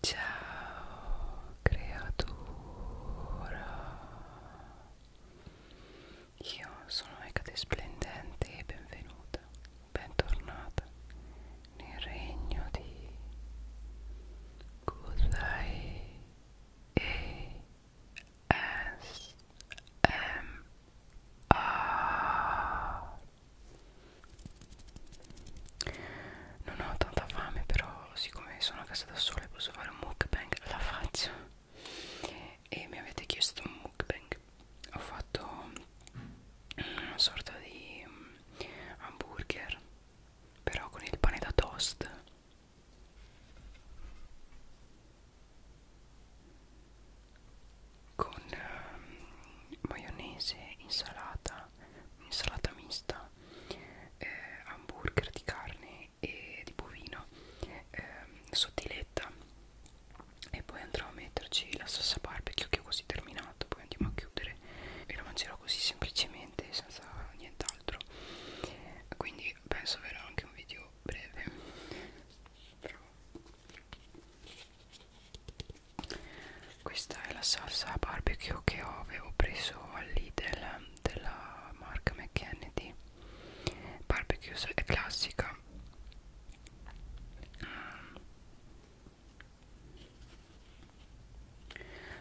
Ciao creatura Io sono Ecate Splendente e benvenuta, bentornata nel regno di Kudai e S M A non ho tanta fame però siccome sono a casa da sola e posso fare un mukbang la faccio e mi avete chiesto un mukbang ho fatto una sorta di mm, hamburger però con il pane da toast con um, maionese, insalata pasta, insalata mista, eh, hamburger di carne e di bovino, eh, sottiletta e poi andrò a metterci la salsa barbecue che ho così terminato, poi andiamo a chiudere e la mangerò così semplicemente senza nient'altro. Quindi penso verrà anche un video breve. Però questa è la salsa barbecue che ho, avevo preso all'Idel della marca McKennedy barbecue è classica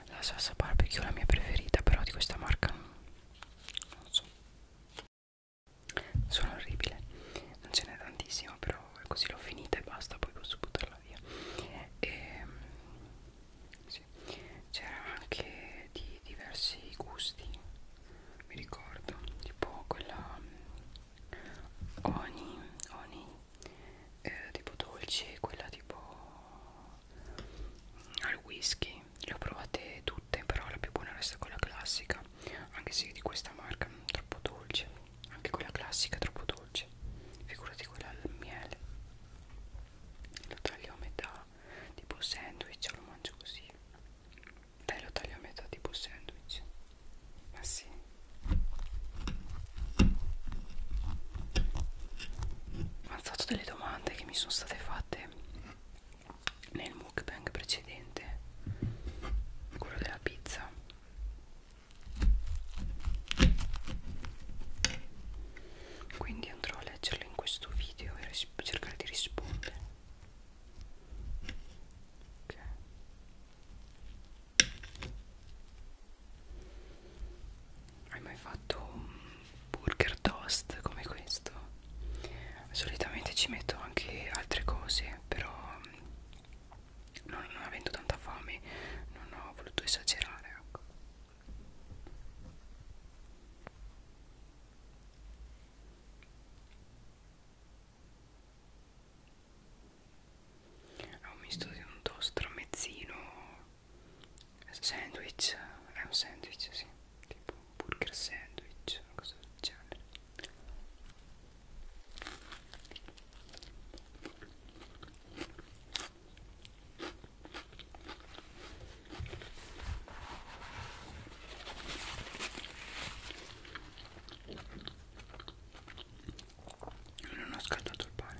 la salsa barbecue è la mia preferita però di questa marca non so sono orribile non ce n'è tantissima però così l'ho finita e basta poi posso buttarla buttarla via e, ehm, sì. c'era anche di diversi gusti mi ricordo tipo quella mm, Oni, oni eh, tipo dolce, quella tipo mm, al whisky, le ho provate tutte, però la più buona resta quella classica, anche se di questa marca non mm, troppo dolce anche quella classica è troppo dolce figurati quella al miele lo taglio a metà tipo sandwich lo mangio così dai lo taglio a metà tipo sandwich ma sì ho alzato delle domande che mi sono state fatte nel mukbang precedente quello della pizza quindi andrò a leggerle in questo video e cercare di rispondere ok hai mai fatto un burger toast come questo? solitamente ci metto anche altre cose però non, non avendo tanta fame non ho voluto esagerare ecco. È un misto di un toast tramezzino sandwich, è un sandwich, sì, tipo un burger sandwich, una cosa del genere non ho scaldato il pane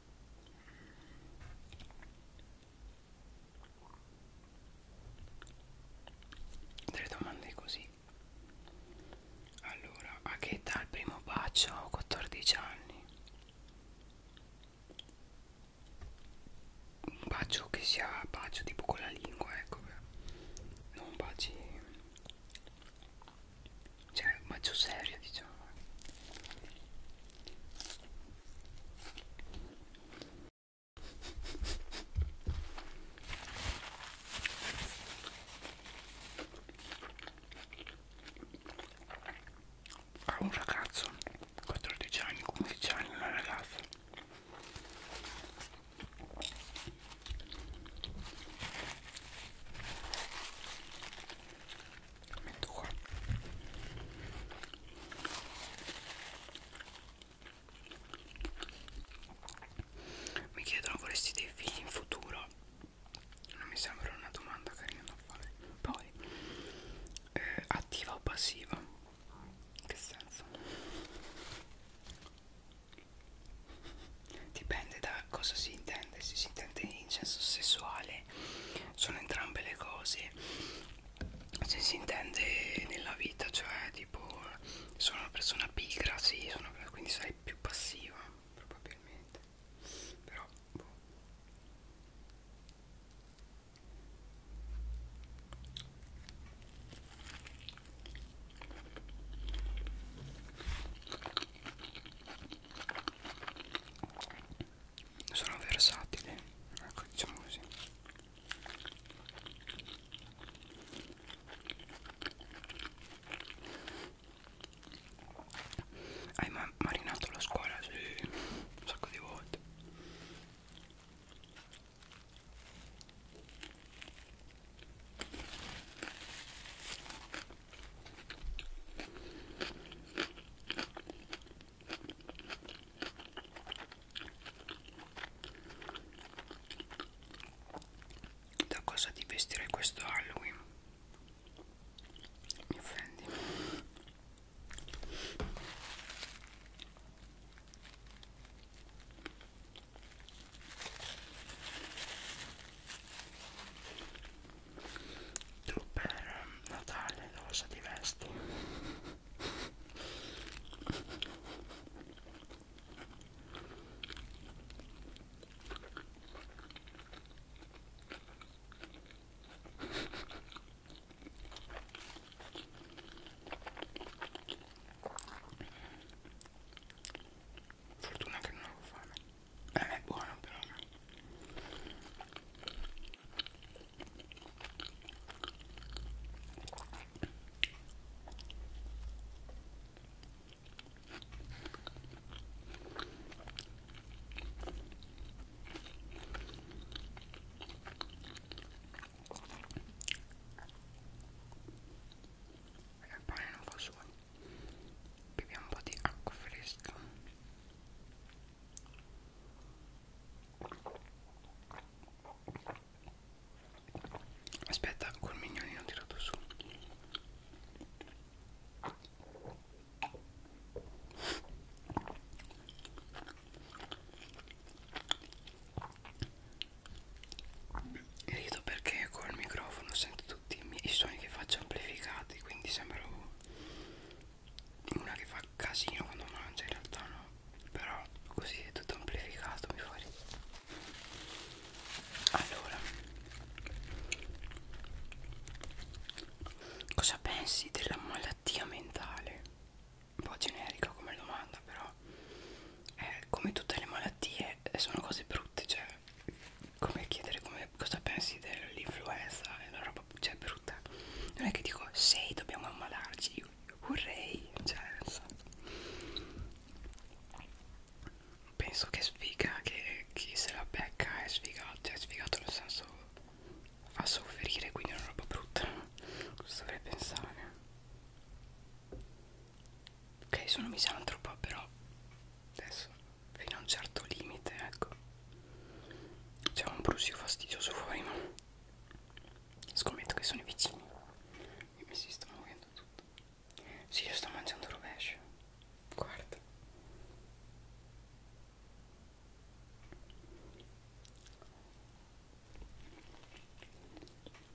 delle domande così allora a che età il primo bacio ho 14 anni un bacio che sia bacio tipo con la lingua ecco non baci cioè un maggio serio diciamo a un ragazzo 14 anni 15 anni una ragazza lo metto qua mi chiedono vorresti dei figli in futuro non mi sembra una domanda carina da fare poi eh, attiva o passiva che senso Dipende da cosa si intende, se si intende incenso sessuale sono entrambe le cose, se si intende nella vita, cioè tipo sono una persona pigra, sì, sono, quindi sarei più passiva probabilmente, però boh sono versatili ecco diciamo così hai ma marinato la scuola? Sì, un sacco di volte da cosa ti vestirei questo Halloween? Mi offendi? Tu per Natale cosa ti vesti? Fortuna che non avevo fame. Eh. eh, è buono però. E il pane non fa suoni beviamo un po' di acqua fresca aspetta col mignolino tirato su rido perché col microfono sento tutti i, miei, i suoni che faccio amplificati quindi sembra una che fa casino quando mangia in realtà no però così è tutto amplificato mi fa ridere allora cosa pensi della malattia mentale un po' generica come domanda però eh, come tutte le malattie eh, sono cose brutte cioè come chiedere come, cosa pensi dell'influenza è una roba cioè, brutta non è che dico sei dobbiamo ammalarci io vorrei cioè so. penso che sfiga che chi se la becca è sfigato cioè è sfigato nel senso fa soffrire quindi è una roba brutta cosa dovrei pensare ok sono misantropa però adesso fino a un certo limite ecco c'è un brusio fastidioso fuori ma scommetto che sono i vicini e mi si sta muovendo tutto sì io sto mangiando rovescio guarda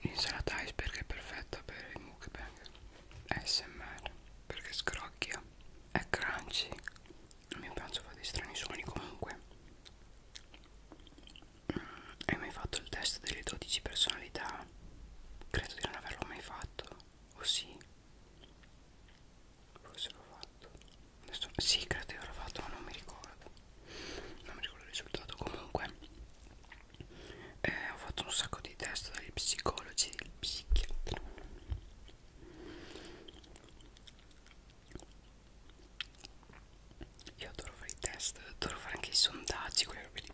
Insalata iceberg è perfetta per il mukbang ASMR perché scrocchia, è crunchy, il mio pranzo fa dei strani suoni comunque. Mm, hai mai fatto il test delle 12 personalità? Credo di non averlo mai fatto, o oh, sì? Forse l'ho fatto. Adesso, sì, credo di averlo fatto, ma non mi ricordo. Non mi ricordo il risultato comunque eh, ho fatto un sacco di test dagli psicologi del psichiatra io adoro fare i test adoro fare anche i sondaggi quelle robe lì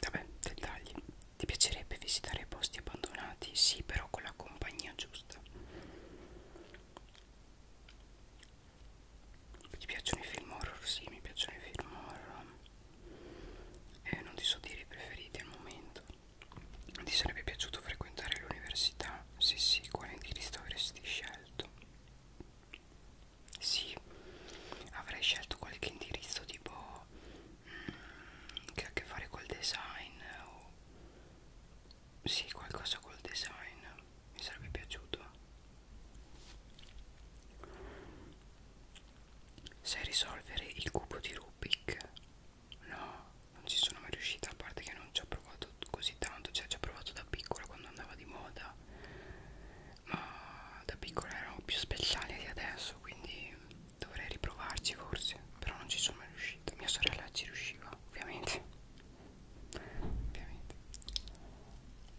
vabbè dettagli ti piacerebbe visitare i posti abbandonati sì però con la compagnia giusta ti piacciono i film horror? Sì, mi piacciono i film horror eh, non ti so dire i preferiti al momento ti sarebbe piaciuto frequentare l'università? se sì, quale indirizzo avresti scelto? sì, avrei scelto qualche indirizzo tipo mm, che ha a che fare col design o sì, qualcosa col design mi sarebbe piaciuto Sai risolvere il cubo di Rubik? No, non ci sono mai riuscita, a parte che non ci ho provato così tanto, cioè ci ho provato da piccola quando andava di moda, ma da piccola erano più speciali di adesso, quindi dovrei riprovarci forse, però non ci sono mai riuscita, mia sorella ci riusciva, ovviamente. Ovviamente.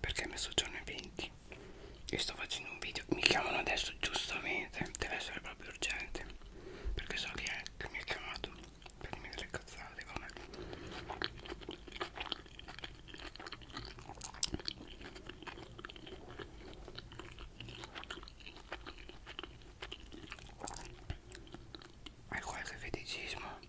perché mi soggiorno ai 20 e sto facendo un video mi chiamano adesso giustamente deve essere proprio urgente perché so chi è che mi ha chiamato per dirmi delle cazzate con me hai qualche feticismo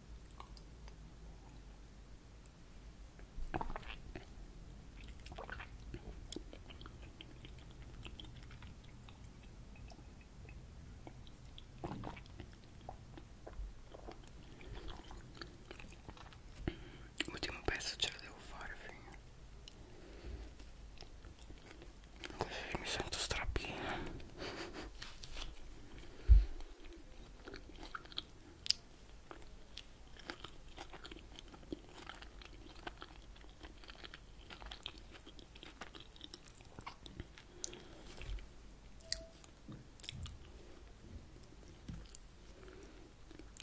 L'ultimo pezzo ce la devo fare figa. Così mi sento strappina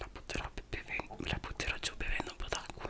la butterò, beve, la butterò giù bevendo un po' d'acqua.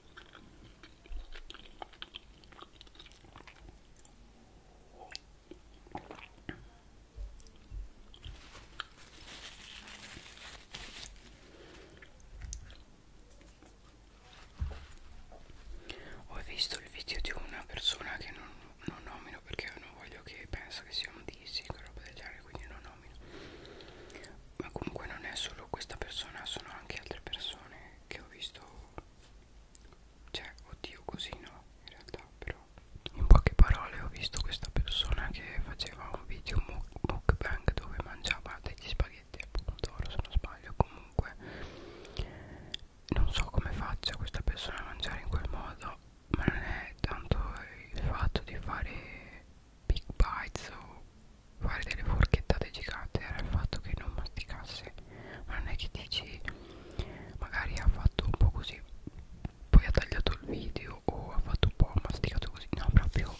Ho visto il video di una persona che non, non nomino perché non voglio che pensa che sia un dissing o roba del genere, quindi non nomino ma comunque non è solo questa persona sono anche altre persone che ho visto cioè oddio così no in realtà però in poche parole ho visto questa persona che faceva un video mukbang dove mangiava degli spaghetti al pomodoro se non sbaglio comunque non so come faccia questa persona a mangiare in quel modo ma non è tanto il fatto di fare big bites o fare delle forchettate gigante era il fatto che non masticasse ma non è che dici magari ha fatto un po' così poi ha tagliato il video o ha fatto un po' ha masticato così no proprio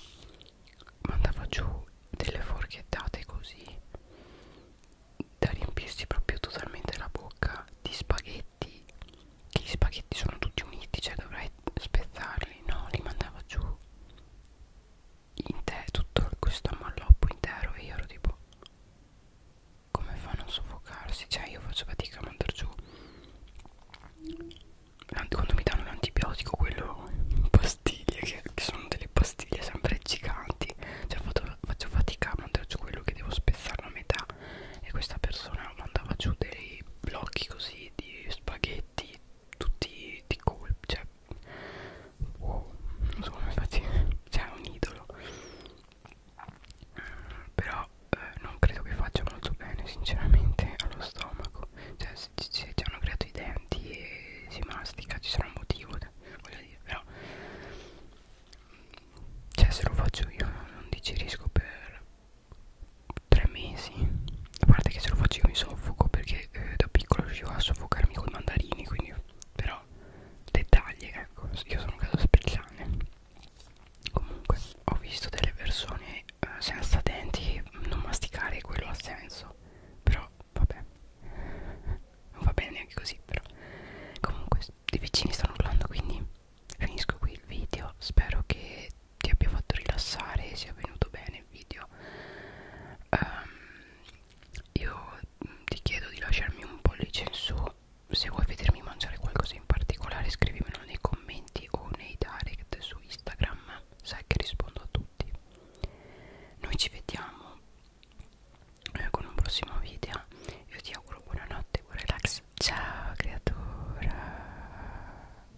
mandava giù delle forchettate così da riempirsi proprio totalmente la bocca di spaghetti che gli spaghetti sono tutti uniti cioè dovrei spezzarli no li mandava giù in te tutto questo malloppo intero e io ero tipo come fanno a soffocarsi cioè io faccio fatica a mandar giù quando mi danno l'antibiotico quello pastiglie che, che sono delle pastiglie sempre giganti cioè faccio fatica a mandare giù quello che devo spezzare a metà e questa persona mandava giù dei blocchi così di spaghetti tutti di colpo cioè wow, non so come faccio cioè è un idolo però eh, non credo che faccia molto bene sinceramente allo stomaco cioè se ci hanno creato i denti e si mastica ci sarà un motivo voglio dire però cioè se lo faccio io non digerisco per tre mesi a parte che se lo facevo in soffoco perché eh, da piccolo riuscivo a soffocarmi con i mandarini quindi però dettagli ecco io sono un caso speciale comunque ho visto delle persone eh, senza denti non masticare quello ha senso però vabbè non va bene neanche così però comunque i vicini stanno urlando quindi finisco qui il video spero che ti abbia fatto rilassare e sia venuto bene il video um, io ti chiedo di lasciarmi un pollice in su se vuoi vedermi mangiare qualcosa in particolare scrivimelo nei commenti o nei direct su Instagram sai che rispondo a tutti noi ci vediamo eh, con un prossimo video io ti auguro buonanotte buon relax ciao creatura